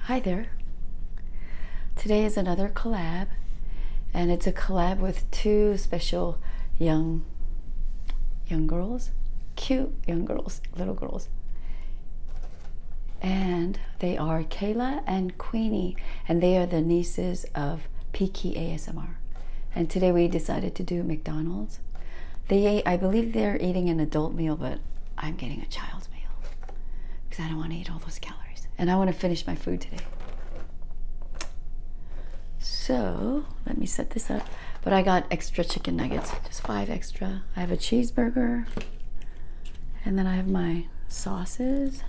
Hi there. Today is another collab, and it's a collab with two special young young girls, cute young girls, little girls. And they are Kayla and Queenie, and they are the nieces of Peaky ASMR. And today we decided to do McDonald's. They, I believe, they're eating an adult meal, but I'm getting a child's meal because I don't want to eat all those calories and I want to finish my food today. So let me set this up. But I got extra chicken nuggets, just five extra. I have a cheeseburger, and then I have my sauces.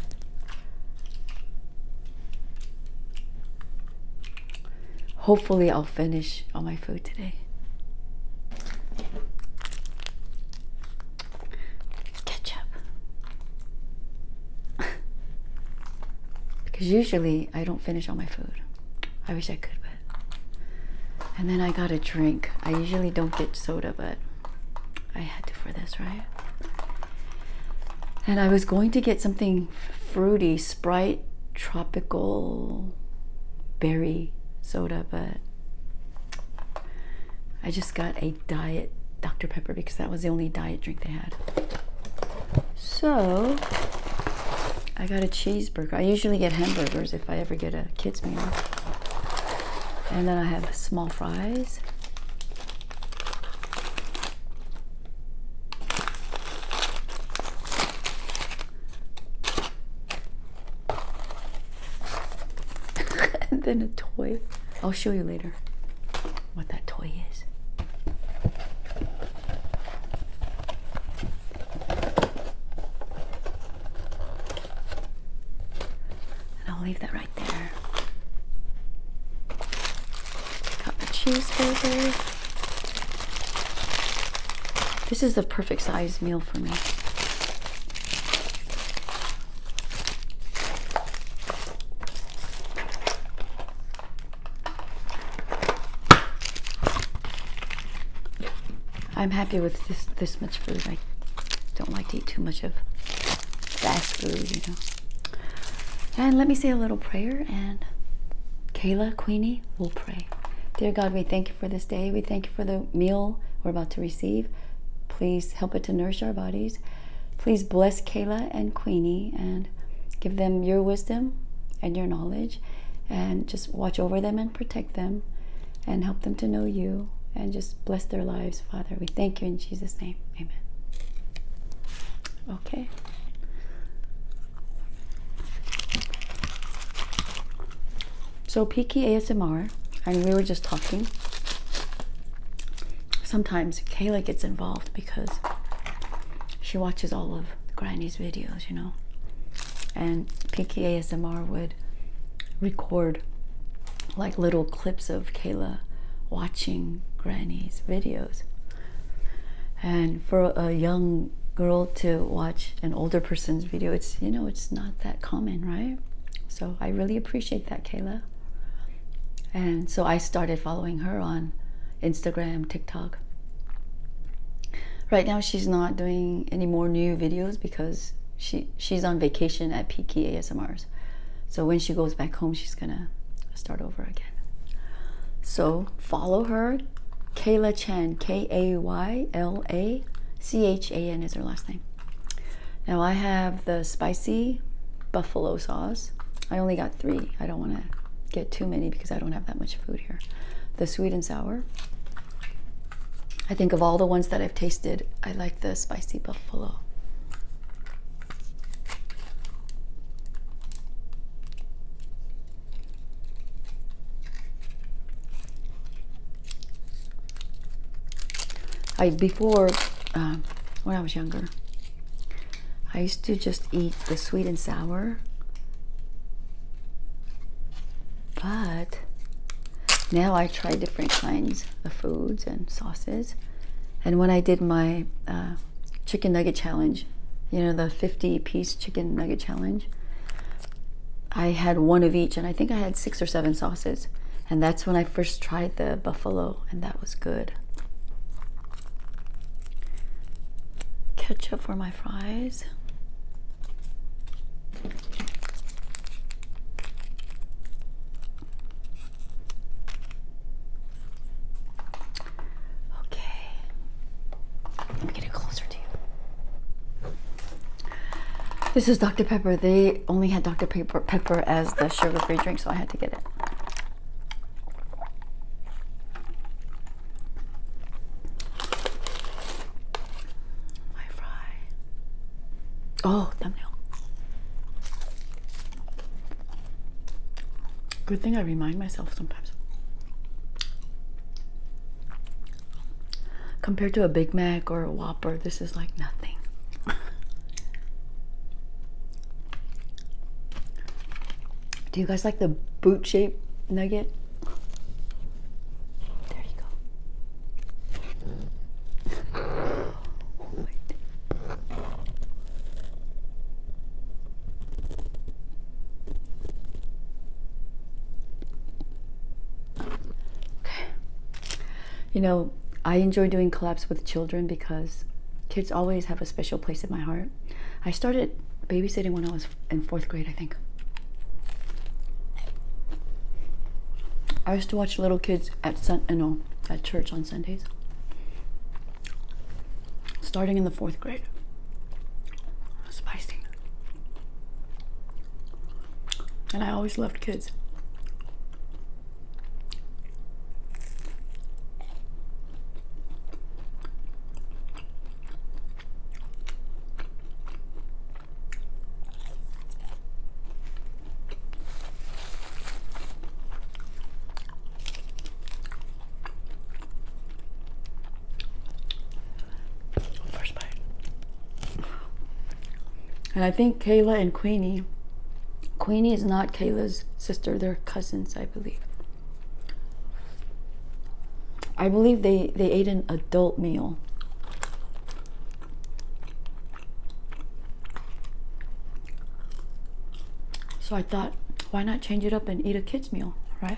Hopefully, I'll finish all my food today. Ketchup. because usually I don't finish all my food. I wish I could, but. And then I got a drink. I usually don't get soda, but I had to for this, right? And I was going to get something fruity, Sprite, tropical, berry soda, but I just got a diet Dr. Pepper because that was the only diet drink they had. So I got a cheeseburger. I usually get hamburgers if I ever get a kids' meal. And then I have small fries. And then a toy. I'll show you later what that toy is. And I'll leave that right there. Got my cheeseburger. This is the perfect size meal for me. I'm happy with this, this much food. I don't like to eat too much of fast food, you know. And let me say a little prayer, and Kayla, Queenie will Dear God, we thank you for this day. We thank you for the meal we're about to receive. Please help it to nourish our bodies. Please bless Kayla and Queenie and give them your wisdom and your knowledge and just watch over them and protect them and help them to know you and just bless their lives, Father. We thank you in Jesus' name. Amen. Okay. So Peaky ASMR, and we were just talking. Sometimes Kayla gets involved because she watches all of Granny's videos, you know. And Peaky ASMR would record like little clips of Kayla watching Granny's videos and for a young girl to watch an older person's video it's you know it's not that common right so i really appreciate that kayla and so i started following her on instagram tiktok right now she's not doing any more new videos because she she's on vacation at pk asmrs so when she goes back home she's gonna start over again so follow her Kayla Chen, K A Y L A C H A N is her last name. Now I have the spicy buffalo sauce. I only got three. I don't want to get too many because I don't have that much food here. The sweet and sour. I think of all the ones that I've tasted, I like the spicy buffalo. I before uh, when I was younger, I used to just eat the sweet and sour. But now I try different kinds of foods and sauces. And when I did my uh, chicken nugget challenge, you know, the 50 piece chicken nugget challenge, I had one of each, and I think I had six or seven sauces. And that's when I first tried the buffalo, and that was good. Ketchup for my fries. Okay. I'm getting closer this is Dr. Pepper. They only had Dr. Pepper, as the sugar-free drink, so I had to get it. My fry. Oh, thumbnail. Good thing I remind myself sometimes. Compared to a Big Mac or a Whopper, this is like nothing. Do you guys like the boot shape nugget? There you go. Oh, Okay. You know, I enjoy doing collabs with children because kids always have a special place in my heart. I started babysitting when I was in fourth grade, I think. I used to watch little kids at Sun, you uh, at church on Sundays, starting in the fourth grade. Spicy. And I always loved kids. First bite. And I think Kayla and Queenie, Queenie is not Kayla's sister, they're cousins, I believe. I believe they, they ate an adult meal. So I thought, why not change it up and eat a kid? meal, right?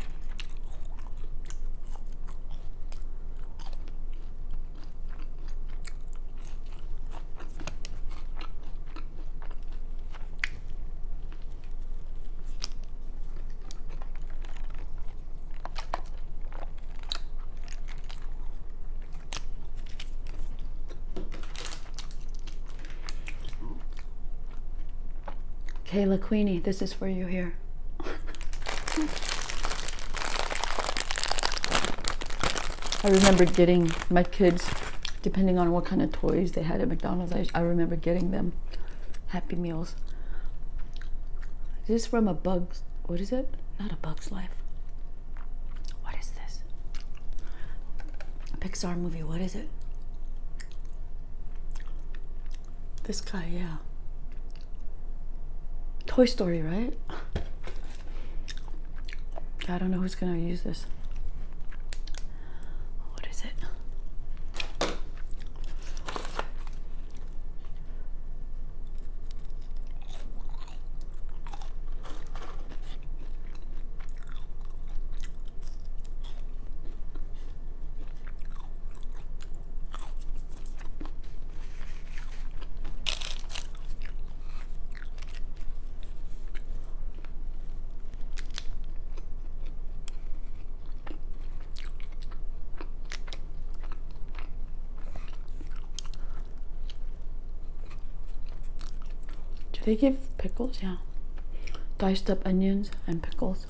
Kayla Queenie, this is for you here. I remember getting my kids, depending on what kind of toys they had at McDonald's, I, remember getting them Happy Meals. This from a bug? what is it? Not a Bug's Life. What is this? Pixar movie, what is it? This guy, yeah. Toy Story, right? I don't know who's gonna use this. What is it? Do they give pickles? Yeah. Diced up onions and pickles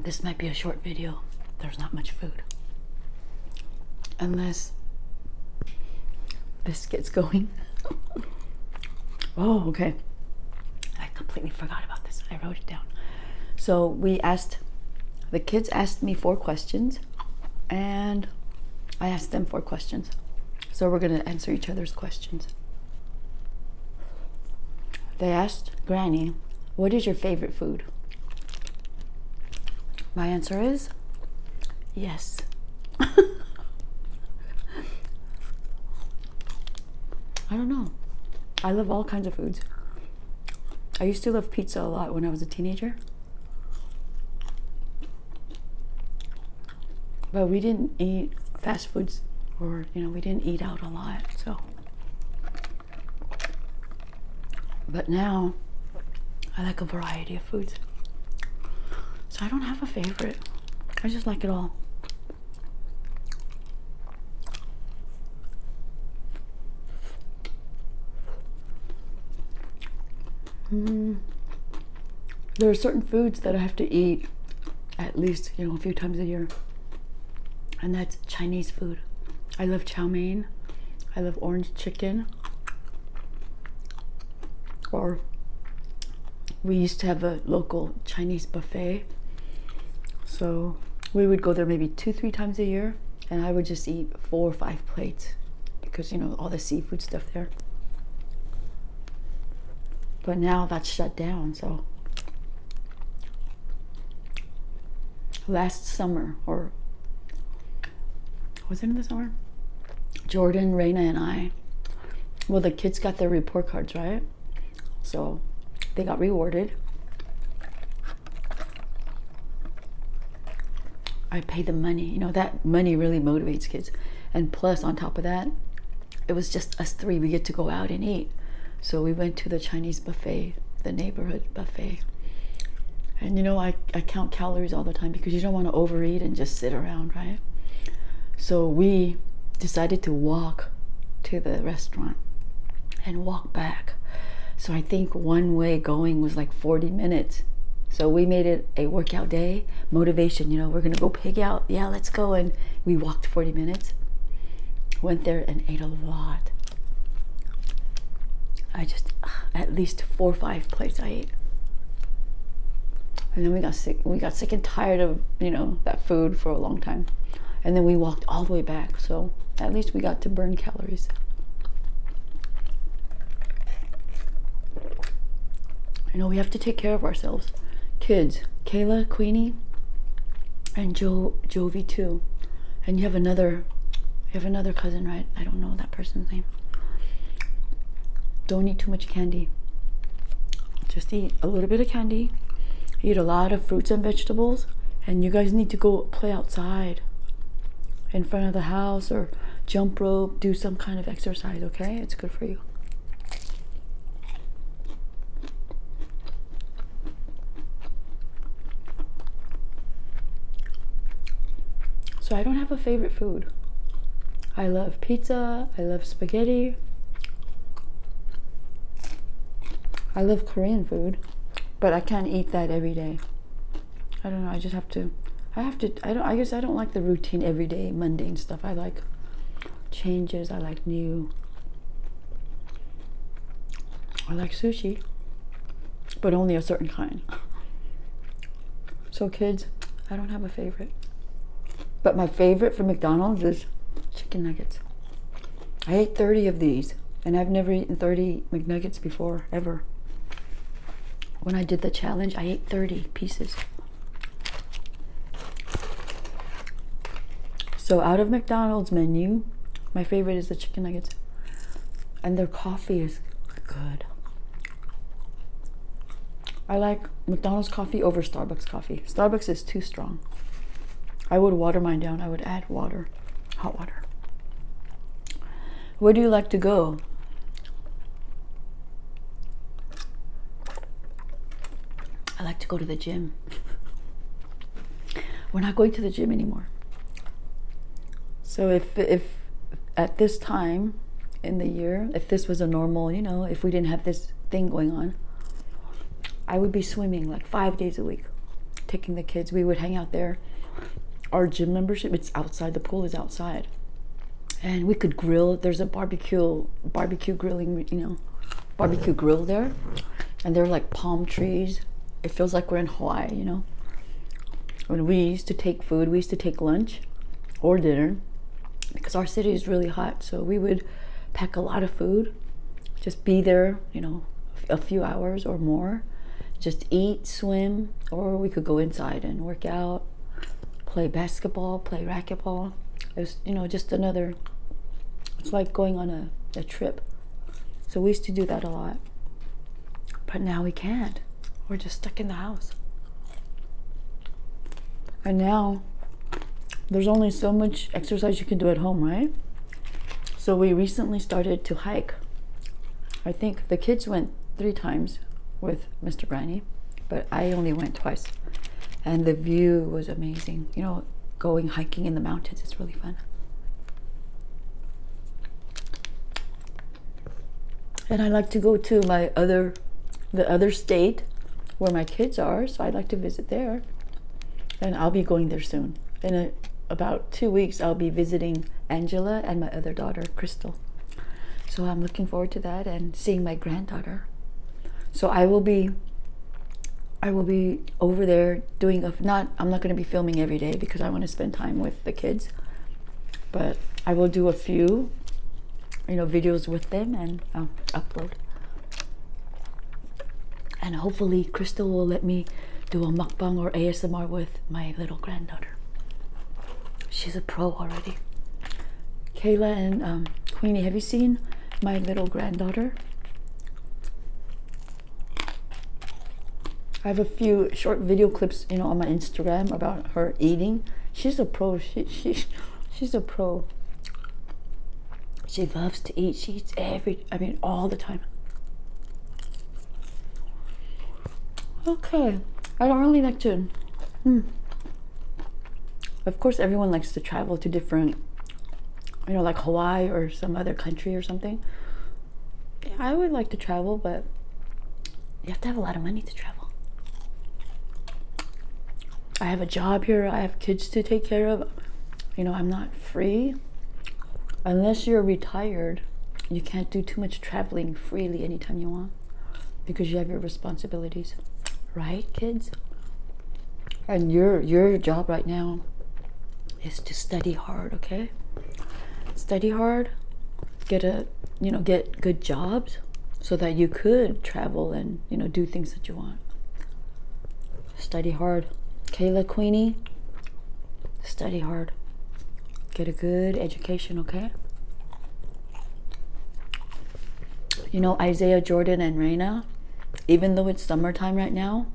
this. might be a short video. There's not much food. Unless this gets going. oh, okay. I completely forgot about this. I wrote it down. So we asked, the kids asked me four questions and I asked them four questions. So we're going to answer each other's questions. They asked Granny, What is your favorite food? My answer is yes. I don't know. I love all kinds of foods. I used to love pizza a lot when I was a teenager. But we didn't eat fast foods or, you know, we didn't eat out a lot. So, but now I like a variety of foods. So I don't have a favorite. I just like it all. Mm. There are certain foods that I have to eat at least, you know, a few times a year. And that's Chinese food. I love chow mein. I love orange chicken. Or we used to have a local Chinese buffet. So we would go there maybe two, three times a year and I would just eat four or five plates because you know all the seafood stuff there. But now that's shut down, so last summer or was it in the summer? Jordan, Reina, and I. Well, the kids got their report cards, right? So they got rewarded. I pay the money. You know, that money really motivates kids. And plus, on top of that, it was just us three. We get to go out and eat. So we went to the Chinese buffet, the neighborhood buffet. And you know, I, I count calories all the time because you don't want to overeat and just sit around, right? So we decided to walk to the restaurant and walk back. So I think one way going was like 40 minutes. So we made it a workout day, motivation, you know, we're going to go pig out. Yeah, let's go. And we walked 40 minutes, went there and ate a lot. I just, at least four or five plates I ate. And then we got sick, we got sick and tired of, you know, that food for a long time. And then we walked all the way back. So at least we got to burn calories calories. You know, we have to take care of ourselves. Kids, Kayla, Queenie, and Joe, Jovi too. And you have another you have another cousin, right? I don't know that person's name. Don't eat too much candy. Just eat a little bit of candy. Eat a lot of fruits and vegetables. And you guys need to go play outside in front of the house or jump rope, do some kind of exercise, okay? It's good for you. So I don't have a favorite food. I love pizza, I love spaghetti. I love Korean food, but I can't eat that every day. I don't know. I just have to. I have to. I don't. I guess I don't like the routine, everyday, mundane stuff. I like changes. I like new. I like sushi, but only a certain kind. So kids, I don't have a favorite. But my favorite from McDonald's is chicken nuggets. I ate 30 of these, and I've never eaten 30 McNuggets before ever. When I did the challenge, I ate 30 pieces. So out of McDonald's menu, my favorite is the chicken nuggets. And their coffee is good. I like McDonald's coffee over Starbucks coffee. Starbucks is too strong. I would water mine down. I would add water hot water. Where do you like to go? I like to go to the gym. We're not going to the gym anymore. So if if at this time in the year, if this was a normal, you know, if we didn't have this thing going on, I would be swimming like five days a week, taking the kids. We would hang out there our gym membership it's outside the pool is outside and we could grill there's a barbecue barbecue grilling you know barbecue grill there and there are like palm trees it feels like we're in hawaii you know when we used to take food we used to take lunch or dinner because our city is really hot so we would pack a lot of food just be there you know a few hours or more. Just eat, swim, or we could go inside and work out, play basketball, play racquetball. It's you know just another. It's like going on a, a trip. So we used to do that a lot. But now we can't. We're just stuck in the house. And now there's only so much exercise you can do at home, right? So we recently started to hike. I think the kids went three times with Mr. Granny, but I only went twice. And the view was amazing. You know, going hiking in the mountains its really fun. And I like to go to my other, the other state where my kids are, so I like to visit there. And I'll be going there soon in a uh, about two weeks, I'll be visiting Angela and my other daughter, Crystal. So I'm looking forward to that and seeing my granddaughter. So I will be I will be over there doing a not I'm not going to be filming every day because I want to spend time with the kids. But I will do a few you know videos with them and uh, upload. And hopefully Crystal will let me do a mukbang or ASMR with my little granddaughter. She's a pro already. Kayla and um, Queenie, have you seen my little granddaughter? I have a few short video clips, you know, on my Instagram about her eating. She's a pro. She, she, she's a pro. She loves to eat. She eats everything. I mean, all the time. Okay, I don't really like to. Hmm. Of course, everyone likes to travel to different, you know, like Hawaii or some other country or something. Yeah, I would like to travel, but you have to have a lot of money to travel. I have a job here, I have kids to take care of. You know, I'm not free unless you're retired you can't do too much traveling freely anytime you want because you have your responsibilities right kids and your your job right now is to study hard okay study hard get a you know get good jobs so that you could travel and you know do things that you want Study hard. Kayla Queenie, study hard. Get a good education, okay? You know, Isaiah Jordan and Raina, even though it's summertime right now,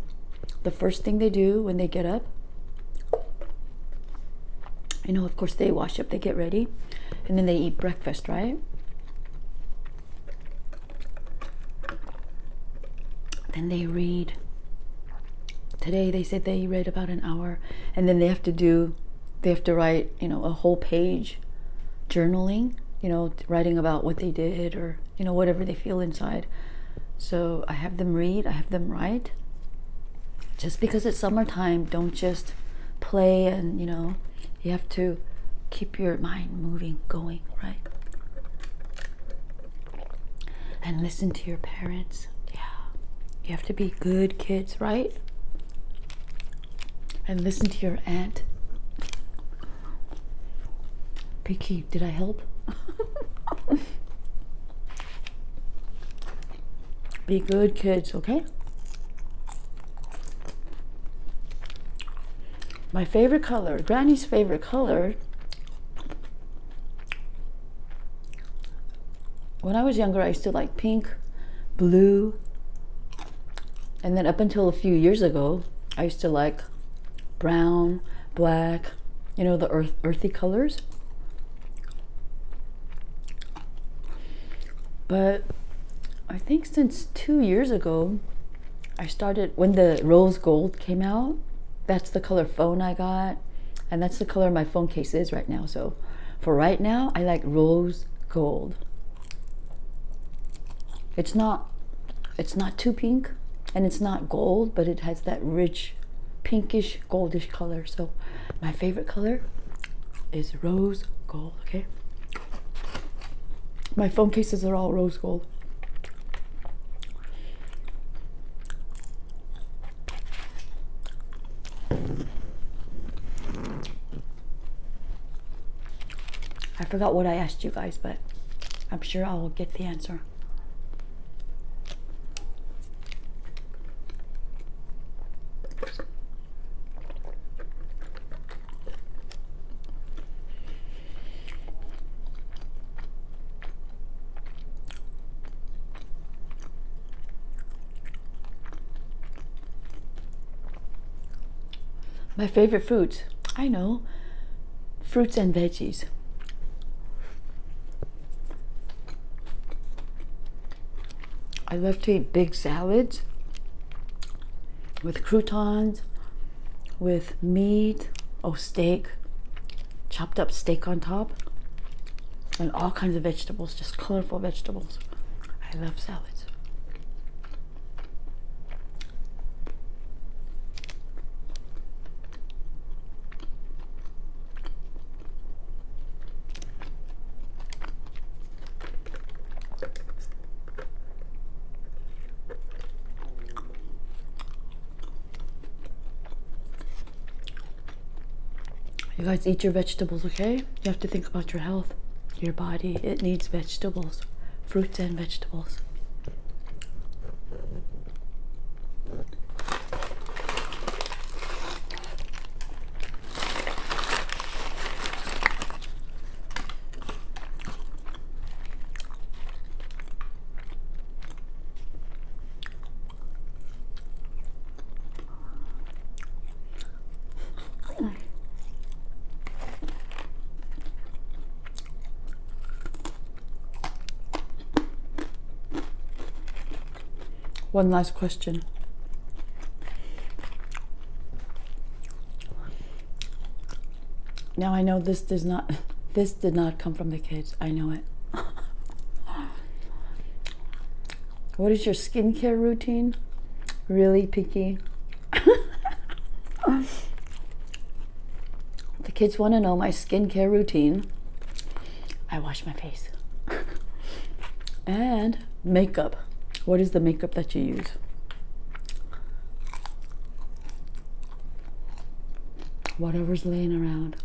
the first thing they do when they get up, you know, of course they wash up, they get ready, and then they eat breakfast, right? Then they read today they said they read about an hour and then they have to do they have to write you know a whole page journaling you know writing about what they did or you know whatever they feel inside so i have them read i have them write just because it's summertime don't just play and you know you have to keep your mind moving going right and listen to your parents. Yeah, you have to be good kids, right? And listen to your aunt. Picky, did I help? be good kids, okay? My favorite color, Granny's favorite color when I was younger, I used to like pink, blue, and then up until a few years ago, I used to like brown, black, you know, the earthy colors. But I think since two years ago, I started when the rose gold came out. That's the color phone I got, and that's the color my phone case is right now. So for right now, I like rose gold. It's not it's not too pink and it's not gold, but it has that rich pinkish goldish color. So my favorite color is rose gold, okay? My phone cases are all rose gold. I forgot what I asked you guys, but I'm sure I will get the answer. My favorite foods, I know, fruits and veggies. I love to eat big salads with croutons with meat or steak, chopped up steak on top, and all kinds of vegetables, just colorful vegetables. I love salads. You guys eat your vegetables, okay? You have to think about your health, your body. It needs vegetables, fruits and vegetables. One last question. Now I know this does not this did not come from the kids. I know it. what is your skincare routine? Really picky. the kids want to know my skincare routine. I wash my face. and makeup. What is the makeup that you use? whatever's laying around.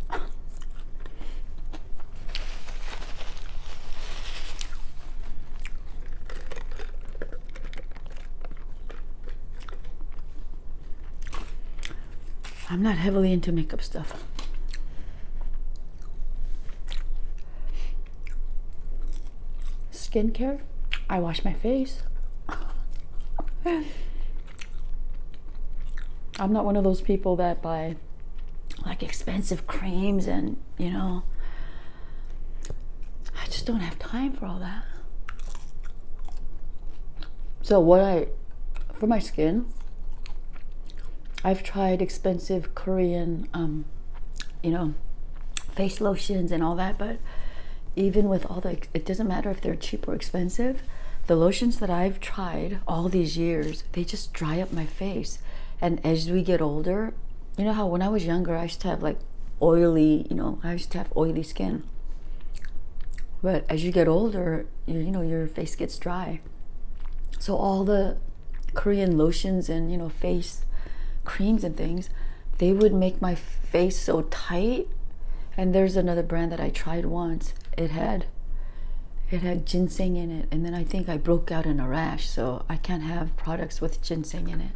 I'm not heavily into makeup stuff. Skincare, I wash my face. I'm not one of those people that buy like expensive creams and, you know, I just don't have time for all that. So, what I, for my skin, I've tried expensive Korean, um, you know, face lotions and all that, but even with all the it doesn't matter if they're cheap or expensive the lotions that i've tried all these years they just dry up my face and as we get older you know how when i was younger i used to have like oily you know i used to have oily skin but as you get older you, know your face gets dry so all the korean lotions and you know face creams and things they would make my face so tight and there's another brand that i tried once it had it had ginseng in it and then i think i broke out in a rash so i can't have products with ginseng in it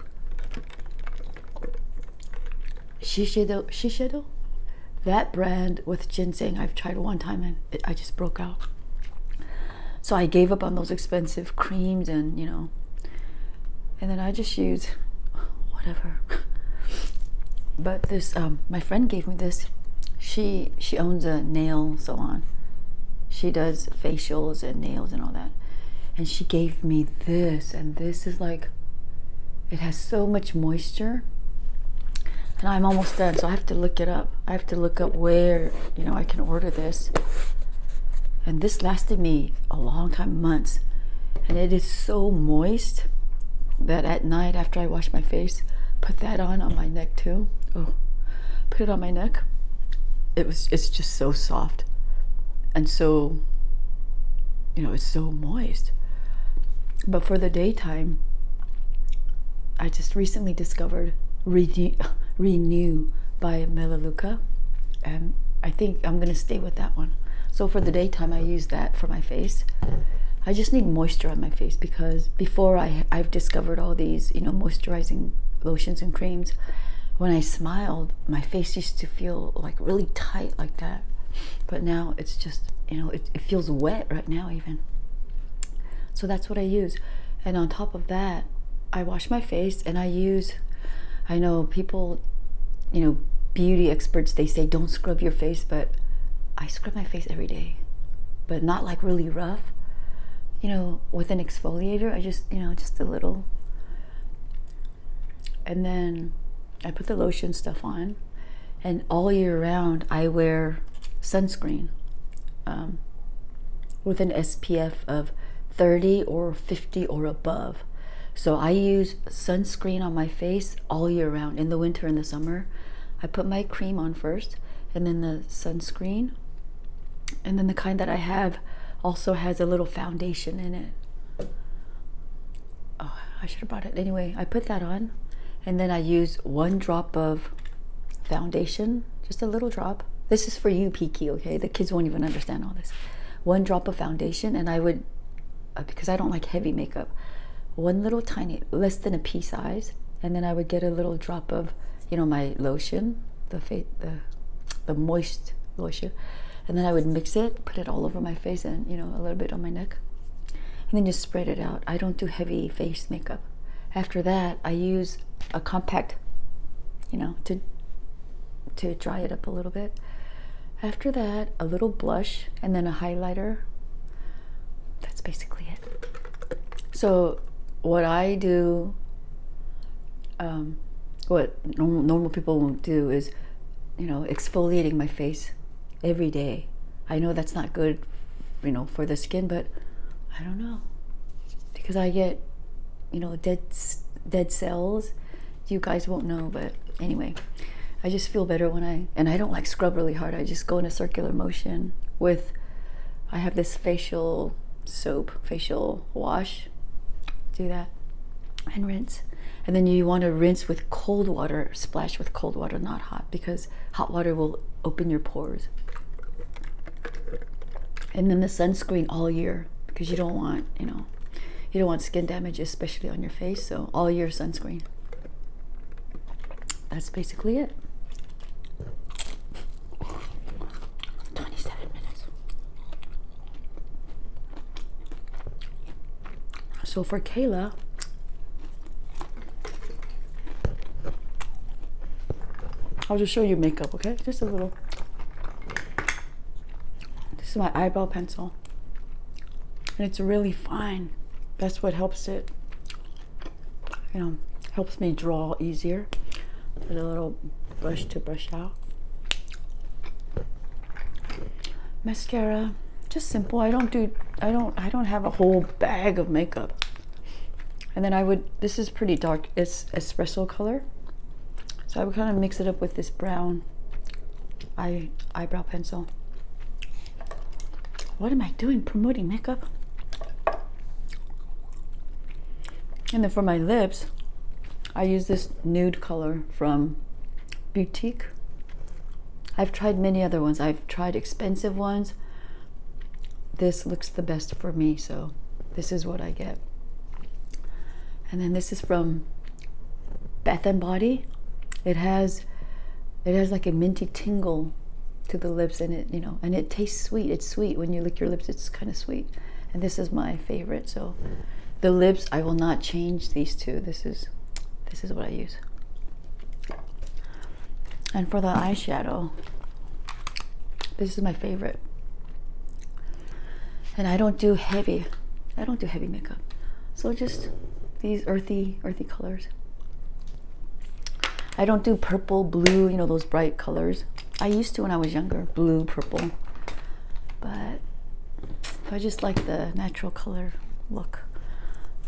shiseido shiseido that brand with ginseng i've tried one time and i just broke out so i gave up on those expensive creams and you know and then I just use whatever. but this, um, my friend gave me this. She she owns a nail salon. She does facials and nails and all that. And she gave me this, and this is like, it has so much moisture. And I'm almost done, so I have to look it up. I have to look up where you know I can order this. And this lasted me a long time, months and it is so moist that at night after I wash my face, put that on on my neck too. Oh, put it on my neck. It was it's just so soft and so you know, it's so moist. But for the daytime, I just recently discovered Renew, Renew by Melaleuca and I think I'm gonna stay with that one. So for the daytime, I use that for my face. I just need moisture on my face because before I, I've discovered all these, you know, moisturizing lotions and creams. When I smiled, my face used to feel like really tight like that. But now it's just, you know, it, it feels wet right now even. So that's what I use. And on top of that, I wash my face and I use I know people, you know, beauty experts, they say don't scrub your face, but I scrub my face every day, but not like really rough. You know, with an exfoliator, I just, you know, just a little. And then I put the lotion stuff on, and all year round, I wear sunscreen um, with an SPF of 30 or 50 or above. So I use sunscreen on my face all year round, in the winter and the summer. I put my cream on first, and then the sunscreen. And then the kind that I have also has a little foundation in it. Oh, I should have brought it. Anyway, I put that on, and then I use one drop of foundation, just a little drop. This is for you, Peaky, okay? The kids won't even understand all this. One drop of foundation, and I would uh, because I don't like heavy makeup, one little tiny, less than a pea size, and then I would get a little drop of, you know, my lotion, the fa- the, the moist lotion, and then I would mix it, put it all over my face, and you know, a little bit on my neck, and then just spread it out. I don't do heavy face makeup. After that, I use a compact, you know, to to dry it up a little bit. After that, a little blush and then a highlighter. That's basically it. So, what I do, um, what normal, people won't do is, you know, exfoliating my face every day. I know that's not good, you know, for the skin, but I don't know because I get, you know, dead dead cells you guys won't know, but anyway, I just feel better when I, and I don't like scrub really hard. I just go in a circular motion with, I have this facial soap, facial wash. Do that and rinse. And then you want to rinse with cold water, splash with cold water, not hot, because hot water will open your pores. And then the sunscreen all year because you don't want, you know, you don't want skin damage, especially on your face. So all your sunscreen. That's basically it. 27 minutes. So for Kayla, I'll just show you makeup, okay? Just a little. This is my eyebrow pencil. And it's really fine. That's what helps it, you know, helps me draw easier. Put a little brush to brush out. Mascara, just simple. I don't do, I don't, I don't have a whole bag of makeup. And then I would, this is pretty dark, it's espresso color. So I would kind of mix it up with this brown eye eyebrow pencil. What am I doing promoting makeup? And then for my lips, I use this nude color from Boutique. I've tried many other ones. I've tried expensive ones. This looks the best for me, so this is what I get. And then this is from Bath and Body. It has it has like a minty tingle to the lips and it you know and it tastes sweet. It's sweet when you lick your lips. It's kind of sweet. And this is my favorite. So the lips I will not change these two. This is this is what I use. And for the eyeshadow, this is my favorite and I don't do heavy. I don't do heavy makeup. So just these earthy, earthy colors. I don't do purple, blue, you know, those bright colors. I used to when I was younger, blue, purple. But I just like the natural color look.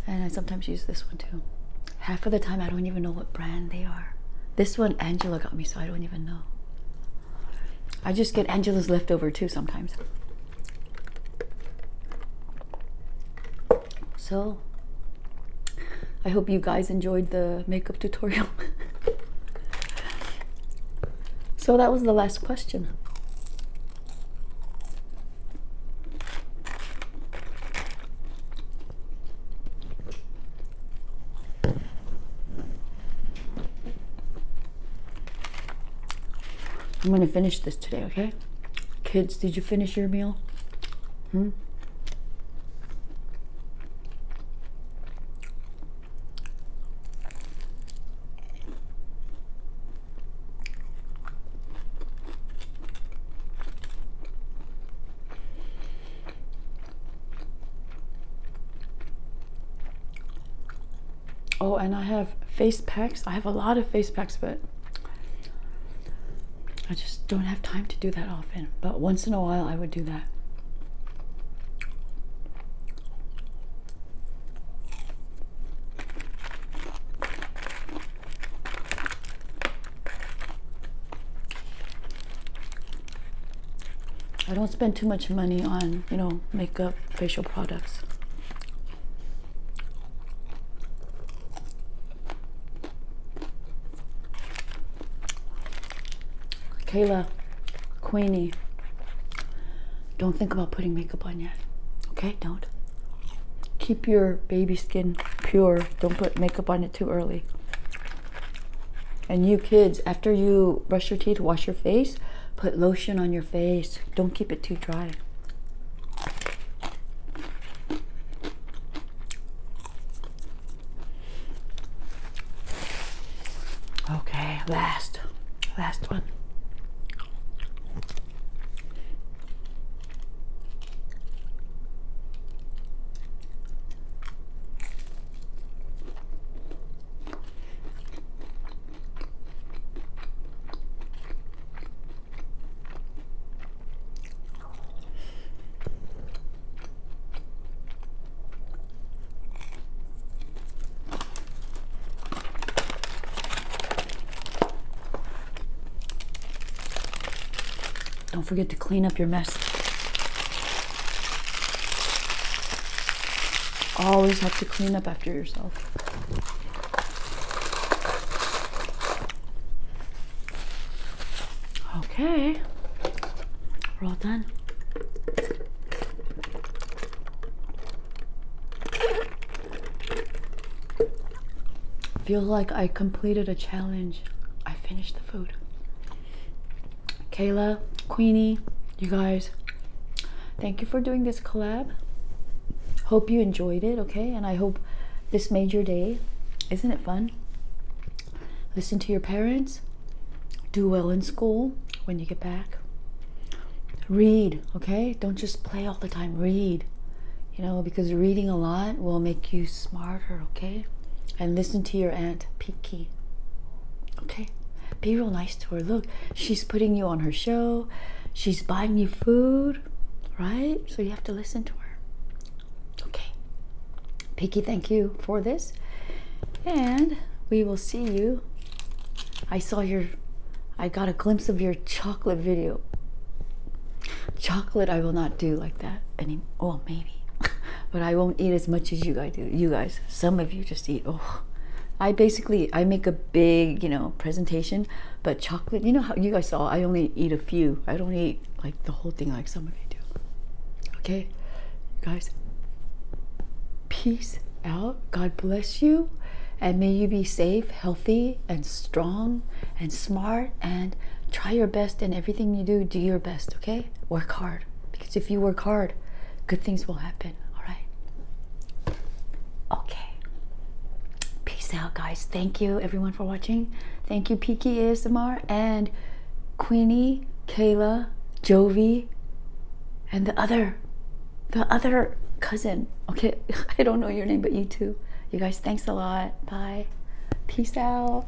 And I sometimes use this one too. Half of the time, I don't even know what brand they are. This one Angela got me, so I don't even know. I just get Angela's leftover too sometimes. So, I hope you guys enjoyed the makeup tutorial. so that was the last question. I'm going to finish this today, okay? Kids, did you finish your meal? Hmm? Oh, and I have face packs. I have a lot of face packs, but I just don't have time to do that often. But once in a while, I would do that. I don't spend too much money on, you know, makeup, facial products. Kayla, Queenie, don't think about putting makeup on yet. Okay, don't. Keep your baby skin pure. Don't put makeup on it too early. And you kids, after you brush your teeth, wash your face, put lotion on your face. Don't keep it too dry. Okay, last, last one. Don't forget to clean up your mess always have to clean up after yourself. Okay, we're all done. Feels like I completed a challenge. I finished the food. Kayla, Queenie, you guys, thank you for doing this collab. Hope you enjoyed it, okay? And I hope this made your day. Isn't it fun? Listen to your parents. Do well in school when you get back. Read, okay? Don't just play all the time. Read, you know, because reading a lot will make you smarter, okay? And listen to your Aunt Peaky, okay? Be real nice to her. Look, she's putting you on her show. She's buying you food, right? So you have to listen to her. Okay. Pinky, thank you for this. And we will see you. I saw your, I got a glimpse of your chocolate video. Chocolate, I will not do like that anymore. Well, maybe. but I won't eat as much as you guys do. You guys, some of you just eat. Oh, I basically I make a big you know presentation, but chocolate. You know how you guys saw I only eat a few. I don't eat like the whole thing like some of you do. Okay, guys. Peace out. God bless you, and may you be safe, healthy, and strong, and smart, and try your best in everything you do. Do your best. Okay, work hard because if you work hard good things will happen. All right. Okay. Peace out, guys. Thank you, everyone, for watching. Thank you, Peaky ASMR and Queenie, Kayla, Jovi, and the other, the other cousin. Okay, I don't know your name, but you too. You guys, thanks a lot. Bye. Peace out.